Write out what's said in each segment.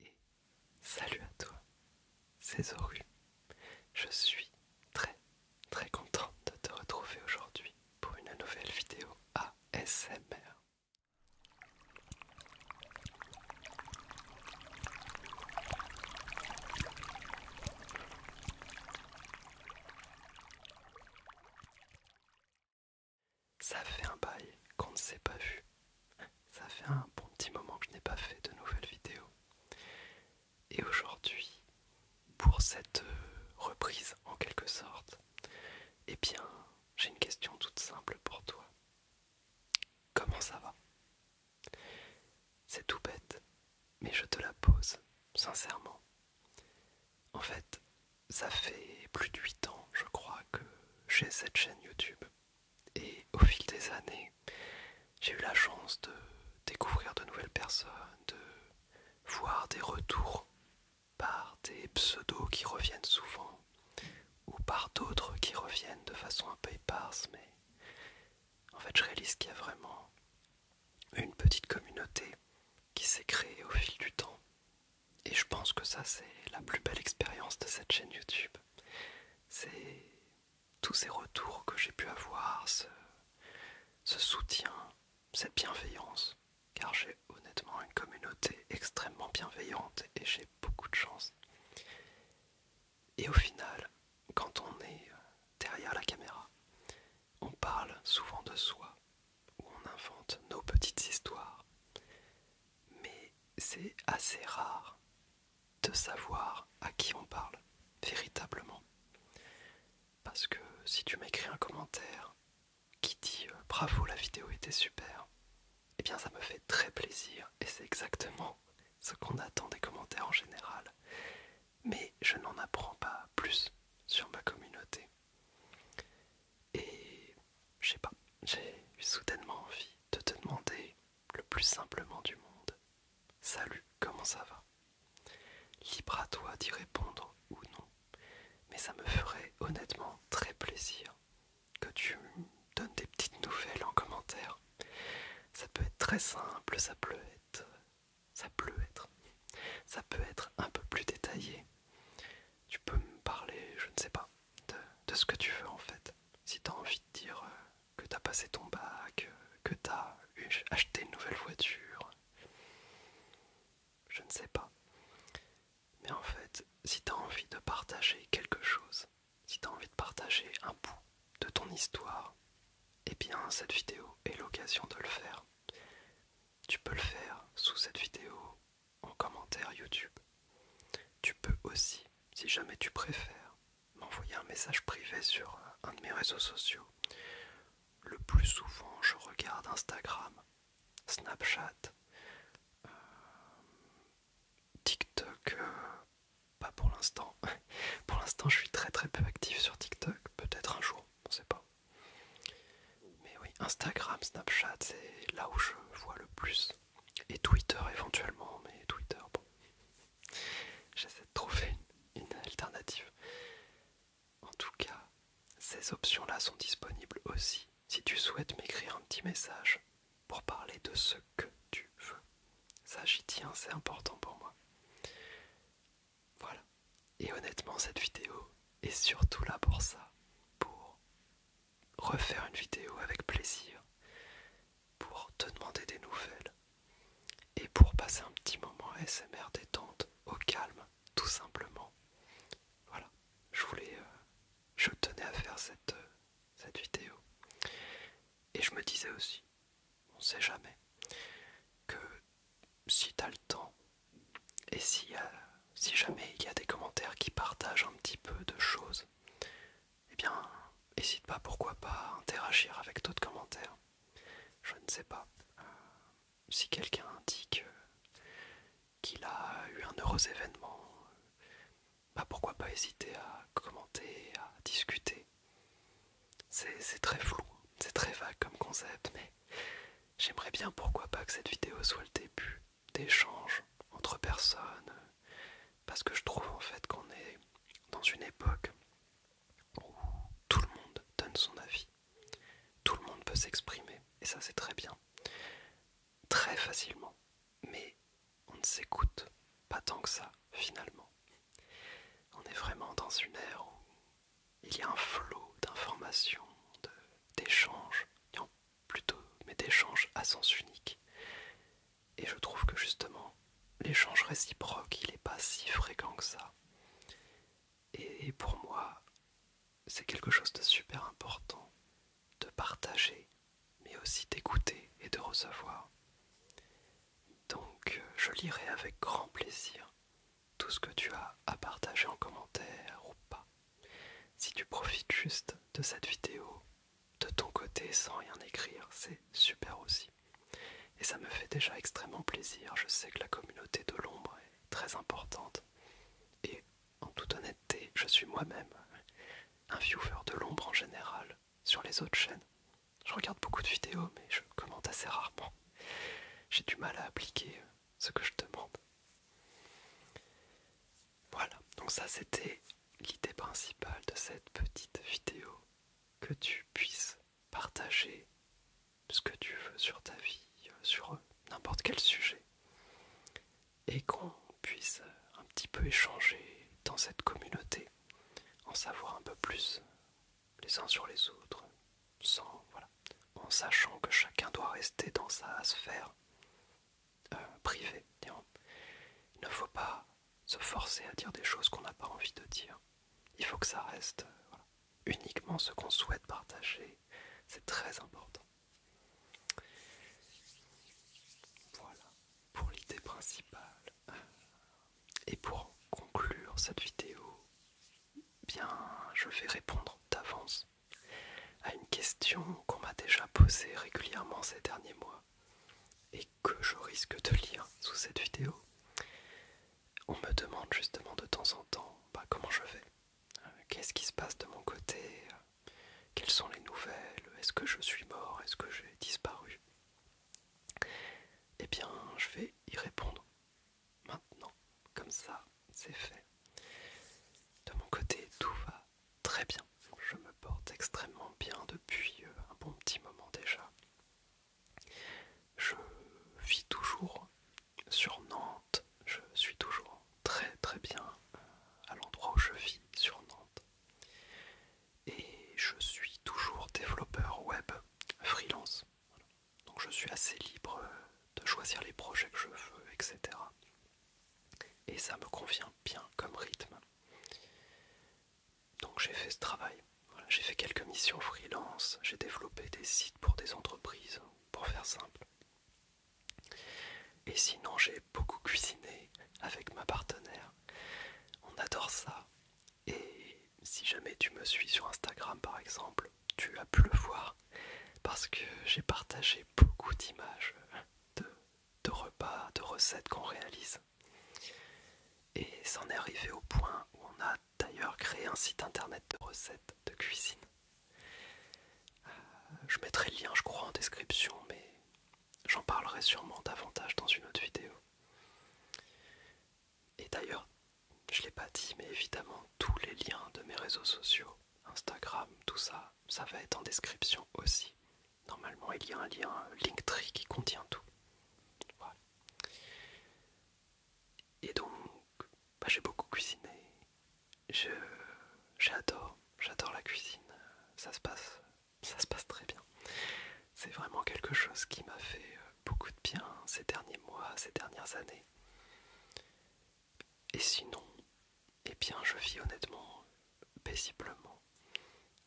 et salut à toi, c'est Zoru. Je suis très très contente de te retrouver aujourd'hui pour une nouvelle vidéo ASMR. Ça fait un bail qu'on ne s'est pas vu. Ça fait un bon petit moment que je n'ai pas fait de nouvelles vidéos. Et aujourd'hui, pour cette euh, reprise en quelque sorte, eh bien, j'ai une question toute simple pour toi. Comment ça va C'est tout bête, mais je te la pose, sincèrement. En fait, ça fait plus de 8 ans, je crois, que j'ai cette chaîne YouTube. Et au fil des années, j'ai eu la chance de découvrir de nouvelles personnes, de voir des retours par des pseudos qui reviennent souvent ou par d'autres qui reviennent de façon un peu éparse, mais en fait je réalise qu'il y a vraiment une petite communauté qui s'est créée au fil du temps et je pense que ça, c'est la plus belle expérience de cette chaîne YouTube. C'est tous ces retours que j'ai pu avoir, ce, soutien, cette bienveillance. Car j'ai honnêtement une communauté extrêmement bienveillante et j'ai beaucoup de chance. Et au final, quand on est euh, derrière la caméra, on parle souvent de soi, ou on invente nos petites histoires mais c'est assez rare de savoir à qui on parle véritablement. Parce que si tu m'écris un commentaire qui dit euh, bravo la vidéo était super, eh bien ça me fait très plaisir et c'est exactement ce qu'on attend des commentaires en général. Mais je n'en apprends pas plus sur ma communauté. Et je sais pas, j'ai eu soudainement envie de te demander le plus simplement du monde. Salut, comment ça va Libre à toi d'y répondre ou non, mais ça me ferait honnêtement très plaisir que tu me donnes des petites nouvelles en commentaire. Ça peut être très simple, ça pleut... être, ça peut être, ça peut être un peu plus détaillé, tu peux me parler, je ne sais pas, de, ce que tu veux en fait. Si t'as envie de dire euh, que t'as passé ton bac, euh, que tu as acheté une nouvelle voiture, je ne sais pas. Mais en fait, si t'as envie de partager quelque chose, si tu envie de partager un bout de ton histoire, eh bien cette vidéo est l'occasion de le faire. Tu peux le faire sous cette vidéo, en commentaire YouTube. Tu peux aussi, si jamais tu préfères, m'envoyer un message privé sur euh, un de mes réseaux sociaux. Le plus souvent, je regarde Instagram, Snapchat, euh, TikTok, euh, pas pour l'instant. pour l'instant, je suis très très peu actif sur TikTok, peut-être un jour, on sait pas. Mais oui, Instagram, Snapchat, c'est là où je vois le plus et Twitter éventuellement, mais Twitter, bon. J'essaie de trouver une, alternative. En tout cas, ces options-là sont disponibles aussi si tu souhaites m'écrire un petit message pour parler de ce que tu veux. Ça, j'y tiens, c'est important pour moi. Voilà. Et honnêtement, cette vidéo est surtout là pour ça, pour refaire une vidéo avec plaisir pour te demander des nouvelles et pour passer un petit moment smr détente au calme tout simplement. Voilà, je voulais euh, je tenais à faire cette, euh, cette vidéo. Et je me disais aussi, on sait jamais, que si t'as le temps et si si jamais il y a des commentaires qui partagent un petit peu de choses, eh bien, n'hésite pas, pourquoi pas, interagir avec d'autres commentaires. Je ne sais pas. Euh, si quelqu'un indique euh, qu'il a eu un heureux événement, euh, bah, pourquoi pas hésiter à commenter, à discuter. C'est très flou, c'est très vague comme concept, mais j'aimerais bien pourquoi pas que cette vidéo soit le début d'échanges entre personnes, parce que je trouve en fait qu'on est dans une époque où tout le monde donne son avis, tout le monde peut s'exprimer, et ça c'est très bien, très facilement, mais on ne s'écoute pas tant que ça finalement. On est vraiment dans une ère où il y a un flot d'informations, d'échanges, plutôt, mais d'échanges à sens unique. Et je trouve que justement, l'échange réciproque, il n'est pas si fréquent que ça. Et pour moi, c'est quelque chose de super important de partager, mais aussi d'écouter et de recevoir. Donc, je lirai avec grand plaisir tout ce que tu as à partager en commentaire ou pas. Si tu profites juste de cette vidéo, de ton côté sans rien écrire, c'est super aussi. Et ça me fait déjà extrêmement plaisir, je sais que la communauté de l'ombre est très importante. Et en toute honnêteté, je suis moi-même un viewer de l'ombre en général sur les autres chaînes. Je regarde beaucoup de vidéos, mais je commente assez rarement. J'ai du mal à appliquer ce que je demande. Voilà, donc ça c'était l'idée principale de cette petite vidéo. Que tu puisses partager ce que tu veux sur ta vie, euh, sur n'importe quel sujet. Et qu'on puisse euh, un petit peu échanger dans cette communauté, en savoir un peu plus euh, les uns sur les autres, en sachant que chacun doit rester dans sa sphère euh, privé Il ne faut pas se forcer à dire des choses qu'on n'a pas envie de dire. Il faut que ça reste euh, uniquement ce qu'on souhaite partager. C'est très important. Voilà pour l'idée principale. Et pour conclure cette vidéo, je vais répondre d'avance à une question qu'on m'a déjà posée régulièrement ces derniers mois et que je risque de lire sous cette vidéo. On me demande justement de temps en temps bah, comment je vais, qu'est-ce qui se passe de mon côté, quelles sont les nouvelles, est-ce que je suis mort, est-ce que j'ai disparu. Eh bien, je vais y répondre maintenant, comme ça, c'est fait. De mon côté, tout va très bien. Je me porte extrêmement bien depuis euh, un bon petit moment déjà. Je vis toujours sur Nantes. Je suis toujours très très bien euh, à l'endroit où je vis sur Nantes. Et je suis toujours développeur web freelance. Donc je suis assez libre euh, de choisir les projets que je veux, etc. Et ça me convient bien comme rythme. Donc j'ai fait ce travail. j'ai fait quelques missions freelance, j'ai développé des sites pour des entreprises, pour faire simple. Et sinon j'ai beaucoup cuisiné avec ma partenaire. On adore ça. Et si jamais tu me suis sur Instagram par exemple, tu as pu le voir parce que j'ai partagé beaucoup d'images de, repas, de recettes qu'on réalise. Et c'en est arrivé au point où on a d'ailleurs créé un site internet de recettes de cuisine. Euh, je mettrai le lien, je crois, en description, mais j'en parlerai sûrement davantage dans une autre vidéo. Et d'ailleurs, je l'ai pas dit, mais évidemment, tous les liens de mes réseaux sociaux, Instagram, tout ça, ça va être en description aussi. Normalement, il y a un lien euh, Linktree qui contient tout. Et donc, bah, j'ai beaucoup cuisiné. J'adore, j'adore la cuisine. Ça se passe, ça se passe très bien. C'est vraiment quelque chose qui m'a fait euh, beaucoup de bien ces derniers mois, ces dernières années. Et sinon, eh bien, je vis honnêtement paisiblement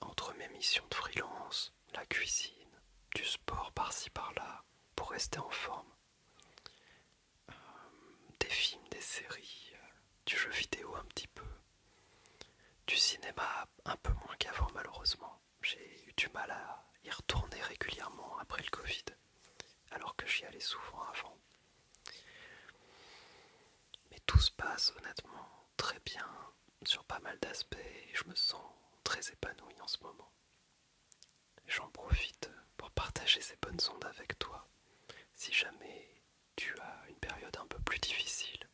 entre mes missions de freelance, la cuisine, du sport par-ci par-là pour rester en forme, euh, des films, des séries, euh, du jeu vidéo un petit peu, du cinéma un peu moins qu'avant malheureusement. J'ai eu du mal à y retourner régulièrement après le Covid, alors que j'y allais souvent avant. Mais tout se passe honnêtement très bien sur pas mal d'aspects je me sens très épanoui en ce moment. J'en profite pour partager ces bonnes ondes avec toi si jamais tu as une période un peu plus difficile.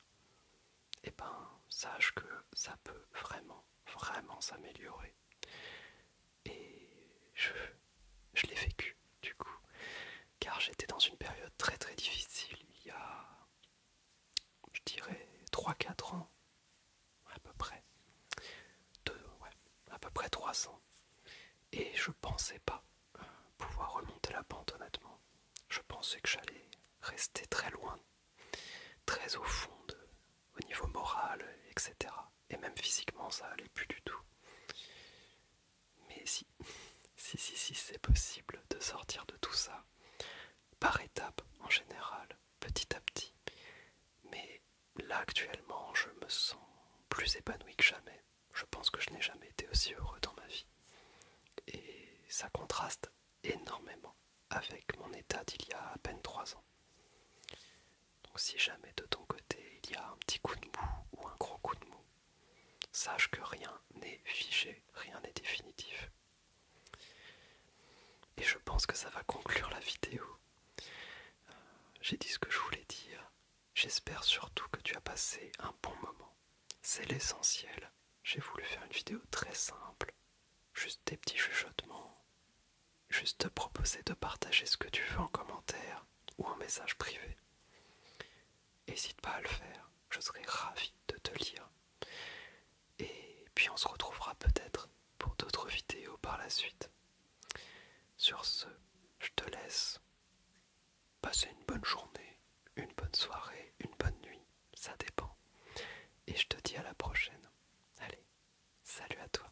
Eh ben, sache que ça peut vraiment, vraiment s'améliorer. Et je, l'ai vécu, du coup, car j'étais dans une période très très difficile il y a, je dirais, 3-4 ans, à peu près. 2, ouais, à peu près 3 ans. Et je pensais pas pouvoir remonter la pente, honnêtement. Je pensais que j'allais rester très loin, très au fond, au niveau moral, etc et même physiquement ça allait plus du tout. Mais si, si, si, si c'est possible de sortir de tout ça, par étapes en général, petit à petit. Mais là actuellement, je me sens plus épanoui que jamais. Je pense que je n'ai jamais été aussi heureux dans ma vie. Et ça contraste énormément avec mon état d'il y a à peine trois ans. Donc si jamais de ton côté il y a un petit coup de mou ou un gros coup de mou, sache que rien n'est figé, rien n'est définitif. Et je pense que ça va conclure la vidéo. Euh, j'ai dit ce que je voulais dire. J'espère surtout que tu as passé un bon moment. C'est l'essentiel. J'ai voulu faire une vidéo très simple. Juste des petits chuchotements, juste te proposer de partager ce que tu veux en commentaire ou en message privé. N'hésite pas à le faire, je serai ravi de te lire. Et puis on se retrouvera peut-être pour d'autres vidéos par la suite. Sur ce, je te laisse. passer une bonne journée, une bonne soirée, une bonne nuit, ça dépend. Et je te dis à la prochaine. Allez, salut à toi.